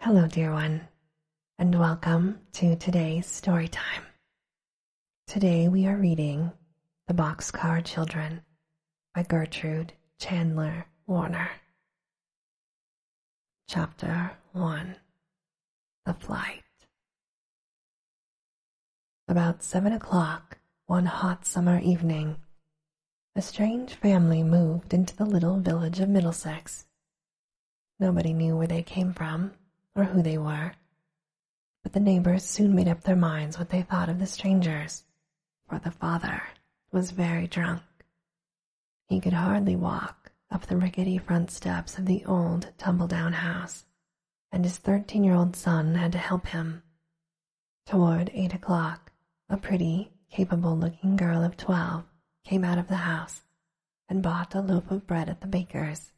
Hello, dear one, and welcome to today's story time. Today we are reading The Boxcar Children by Gertrude Chandler Warner. Chapter 1 The Flight About seven o'clock, one hot summer evening, a strange family moved into the little village of Middlesex. Nobody knew where they came from or who they were, but the neighbors soon made up their minds what they thought of the strangers, for the father was very drunk. He could hardly walk up the rickety front steps of the old tumble-down house, and his thirteen-year-old son had to help him. Toward eight o'clock, a pretty, capable looking girl of twelve came out of the house and bought a loaf of bread at the baker's.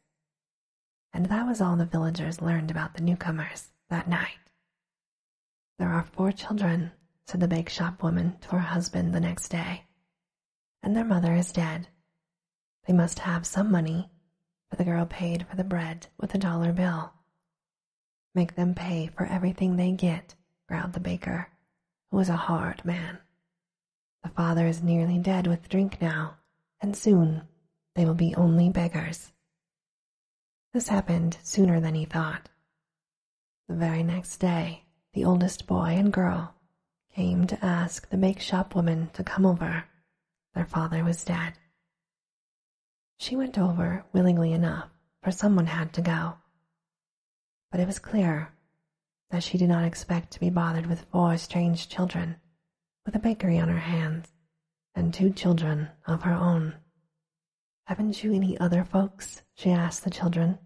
And that was all the villagers learned about the newcomers that night. There are four children, said the bake shop woman to her husband the next day, and their mother is dead. They must have some money, for the girl paid for the bread with a dollar bill. Make them pay for everything they get, growled the baker, who was a hard man. The father is nearly dead with drink now, and soon they will be only beggars. This happened sooner than he thought. The very next day, the oldest boy and girl came to ask the bake shop woman to come over. Their father was dead. She went over, willingly enough, for someone had to go. But it was clear that she did not expect to be bothered with four strange children, with a bakery on her hands, and two children of her own. Haven't you any other folks? she asked the children.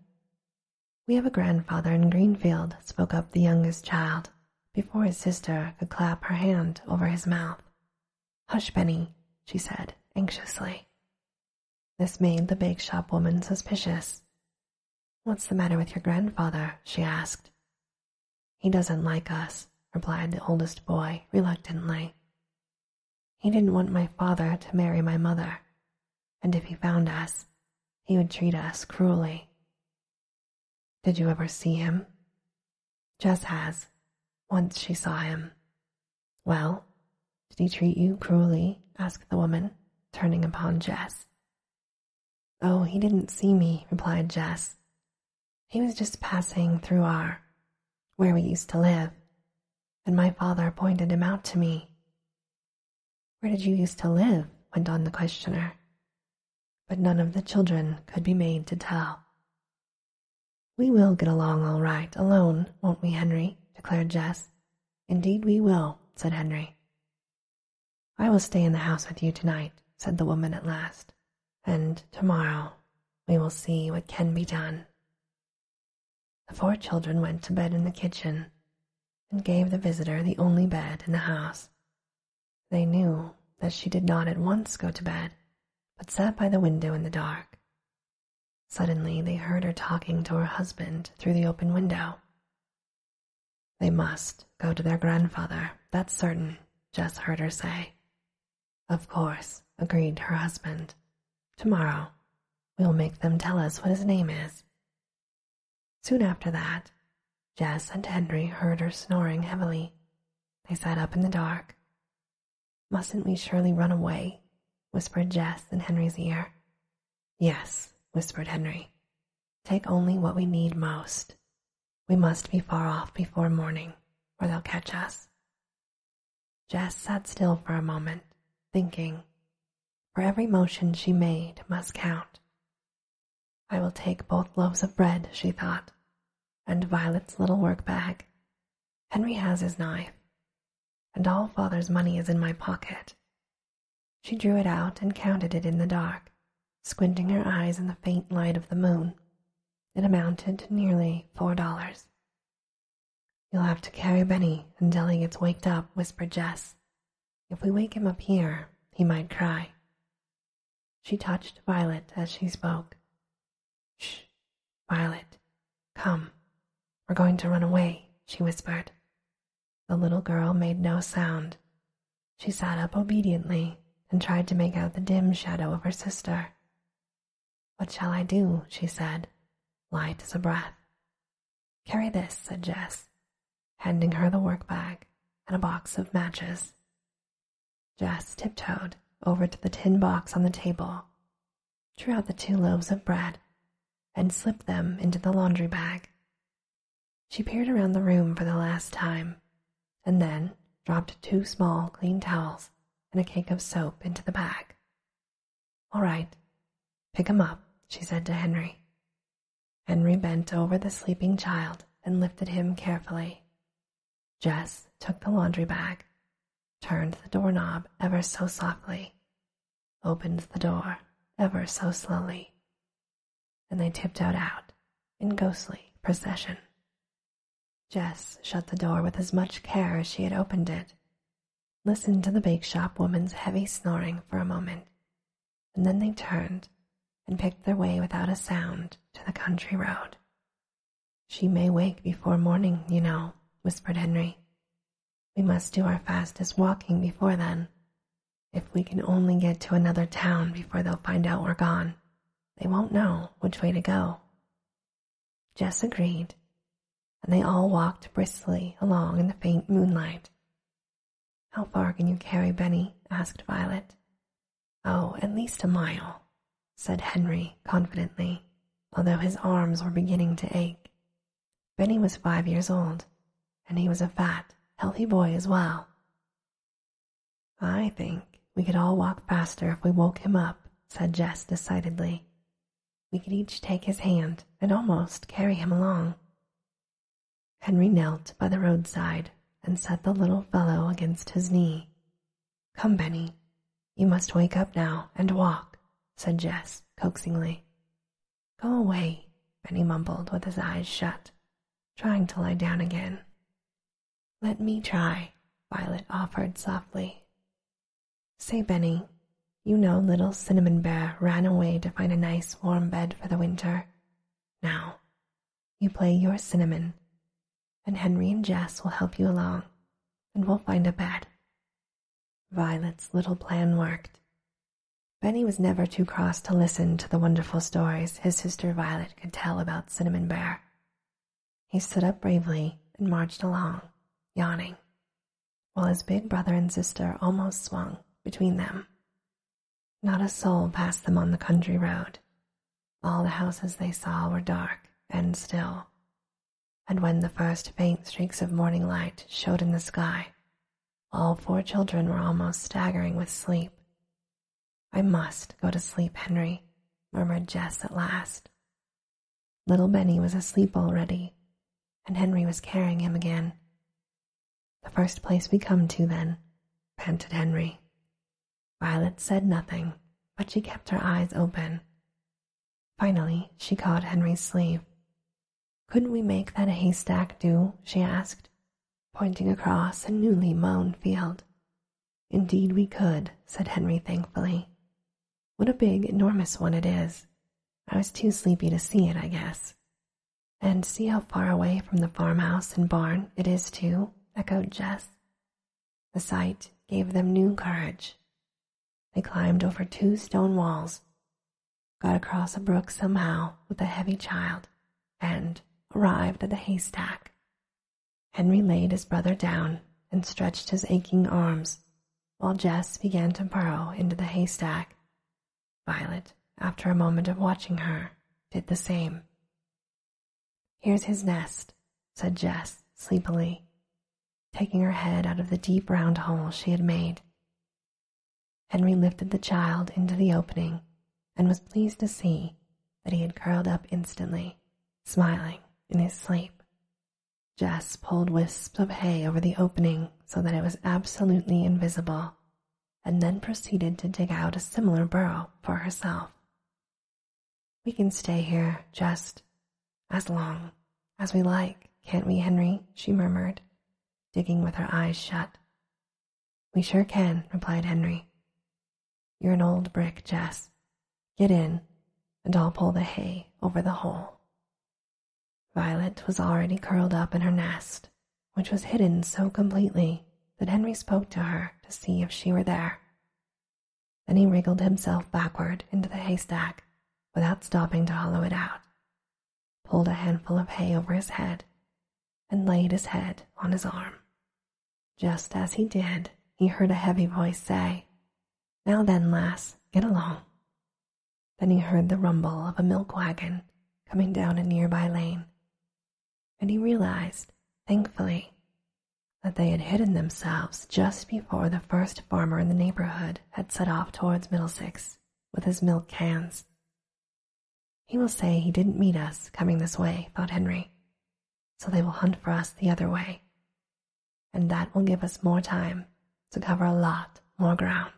We have a grandfather in Greenfield, spoke up the youngest child, before his sister could clap her hand over his mouth. Hush, Benny, she said anxiously. This made the bake shop woman suspicious. What's the matter with your grandfather? she asked. He doesn't like us, replied the oldest boy reluctantly. He didn't want my father to marry my mother, and if he found us, he would treat us cruelly. Did you ever see him? Jess has, once she saw him. Well, did he treat you cruelly? asked the woman, turning upon Jess. Oh, he didn't see me, replied Jess. He was just passing through our, where we used to live, and my father pointed him out to me. Where did you used to live? went on the questioner. But none of the children could be made to tell. We will get along all right alone, won't we, Henry? declared Jess. Indeed, we will, said Henry. I will stay in the house with you tonight, said the woman at last, and tomorrow we will see what can be done. The four children went to bed in the kitchen and gave the visitor the only bed in the house. They knew that she did not at once go to bed, but sat by the window in the dark. Suddenly, they heard her talking to her husband through the open window. They must go to their grandfather, that's certain, Jess heard her say. Of course, agreed her husband. Tomorrow, we'll make them tell us what his name is. Soon after that, Jess and Henry heard her snoring heavily. They sat up in the dark. Mustn't we surely run away? whispered Jess in Henry's ear. Yes, whispered Henry. Take only what we need most. We must be far off before morning, or they'll catch us. Jess sat still for a moment, thinking, for every motion she made must count. I will take both loaves of bread, she thought, and Violet's little work bag. Henry has his knife, and all Father's money is in my pocket. She drew it out and counted it in the dark, squinting her eyes in the faint light of the moon. It amounted to nearly four dollars. You'll have to carry Benny until he gets waked up, whispered Jess. If we wake him up here, he might cry. She touched Violet as she spoke. Sh, Violet, come. We're going to run away, she whispered. The little girl made no sound. She sat up obediently and tried to make out the dim shadow of her sister. What shall I do? she said, light is a breath. Carry this, said Jess, handing her the work bag and a box of matches. Jess tiptoed over to the tin box on the table, drew out the two loaves of bread, and slipped them into the laundry bag. She peered around the room for the last time, and then dropped two small clean towels and a cake of soap into the bag. All right, pick 'em up, she said to Henry. Henry bent over the sleeping child and lifted him carefully. Jess took the laundry bag, turned the doorknob ever so softly, opened the door ever so slowly, and they tiptoed out in ghostly procession. Jess shut the door with as much care as she had opened it, listened to the bake shop woman's heavy snoring for a moment, and then they turned and picked their way without a sound to the country road. She may wake before morning, you know, whispered Henry. We must do our fastest walking before then. If we can only get to another town before they'll find out we're gone, they won't know which way to go. Jess agreed, and they all walked briskly along in the faint moonlight. How far can you carry Benny? asked Violet. Oh, at least a mile, said Henry confidently, although his arms were beginning to ache. Benny was five years old, and he was a fat, healthy boy as well. I think we could all walk faster if we woke him up, said Jess decidedly. We could each take his hand and almost carry him along. Henry knelt by the roadside and set the little fellow against his knee. Come, Benny, you must wake up now and walk, said Jess coaxingly. Go away, Benny mumbled with his eyes shut, trying to lie down again. Let me try, Violet offered softly. Say, Benny, you know little Cinnamon Bear ran away to find a nice warm bed for the winter. Now, you play your cinnamon, and Henry and Jess will help you along, and we'll find a bed. Violet's little plan worked. Benny was never too cross to listen to the wonderful stories his sister Violet could tell about Cinnamon Bear. He stood up bravely and marched along, yawning, while his big brother and sister almost swung between them. Not a soul passed them on the country road. All the houses they saw were dark and still, and when the first faint streaks of morning light showed in the sky, all four children were almost staggering with sleep. I must go to sleep, Henry, murmured Jess at last. Little Benny was asleep already, and Henry was carrying him again. The first place we come to, then, panted Henry. Violet said nothing, but she kept her eyes open. Finally, she caught Henry's sleeve. Couldn't we make that a haystack do? she asked, pointing across a newly mown field. Indeed, we could, said Henry thankfully. What a big, enormous one it is. I was too sleepy to see it, I guess. And see how far away from the farmhouse and barn it is, too, echoed Jess. The sight gave them new courage. They climbed over two stone walls, got across a brook somehow with a heavy child, and arrived at the haystack. Henry laid his brother down and stretched his aching arms, while Jess began to burrow into the haystack. Violet, after a moment of watching her, did the same. Here's his nest, said Jess sleepily, taking her head out of the deep round hole she had made. Henry lifted the child into the opening and was pleased to see that he had curled up instantly, smiling in his sleep. Jess pulled wisps of hay over the opening so that it was absolutely invisible and then proceeded to dig out a similar burrow for herself. We can stay here just as long as we like, can't we, Henry? she murmured, digging with her eyes shut. We sure can, replied Henry. You're an old brick, Jess. Get in, and I'll pull the hay over the hole. Violet was already curled up in her nest, which was hidden so completely that Henry spoke to her to see if she were there. Then he wriggled himself backward into the haystack without stopping to hollow it out, pulled a handful of hay over his head, and laid his head on his arm. Just as he did, he heard a heavy voice say, Now then, lass, get along. Then he heard the rumble of a milk wagon coming down a nearby lane, and he realized, thankfully, that they had hidden themselves just before the first farmer in the neighborhood had set off towards Middlesex with his milk cans. He will say he didn't meet us coming this way, thought Henry, so they will hunt for us the other way, and that will give us more time to cover a lot more ground.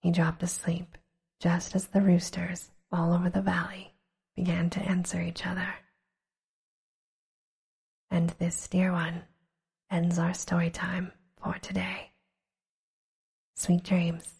He dropped asleep just as the roosters all over the valley began to answer each other. And this, dear one, ends our story time for today. Sweet dreams.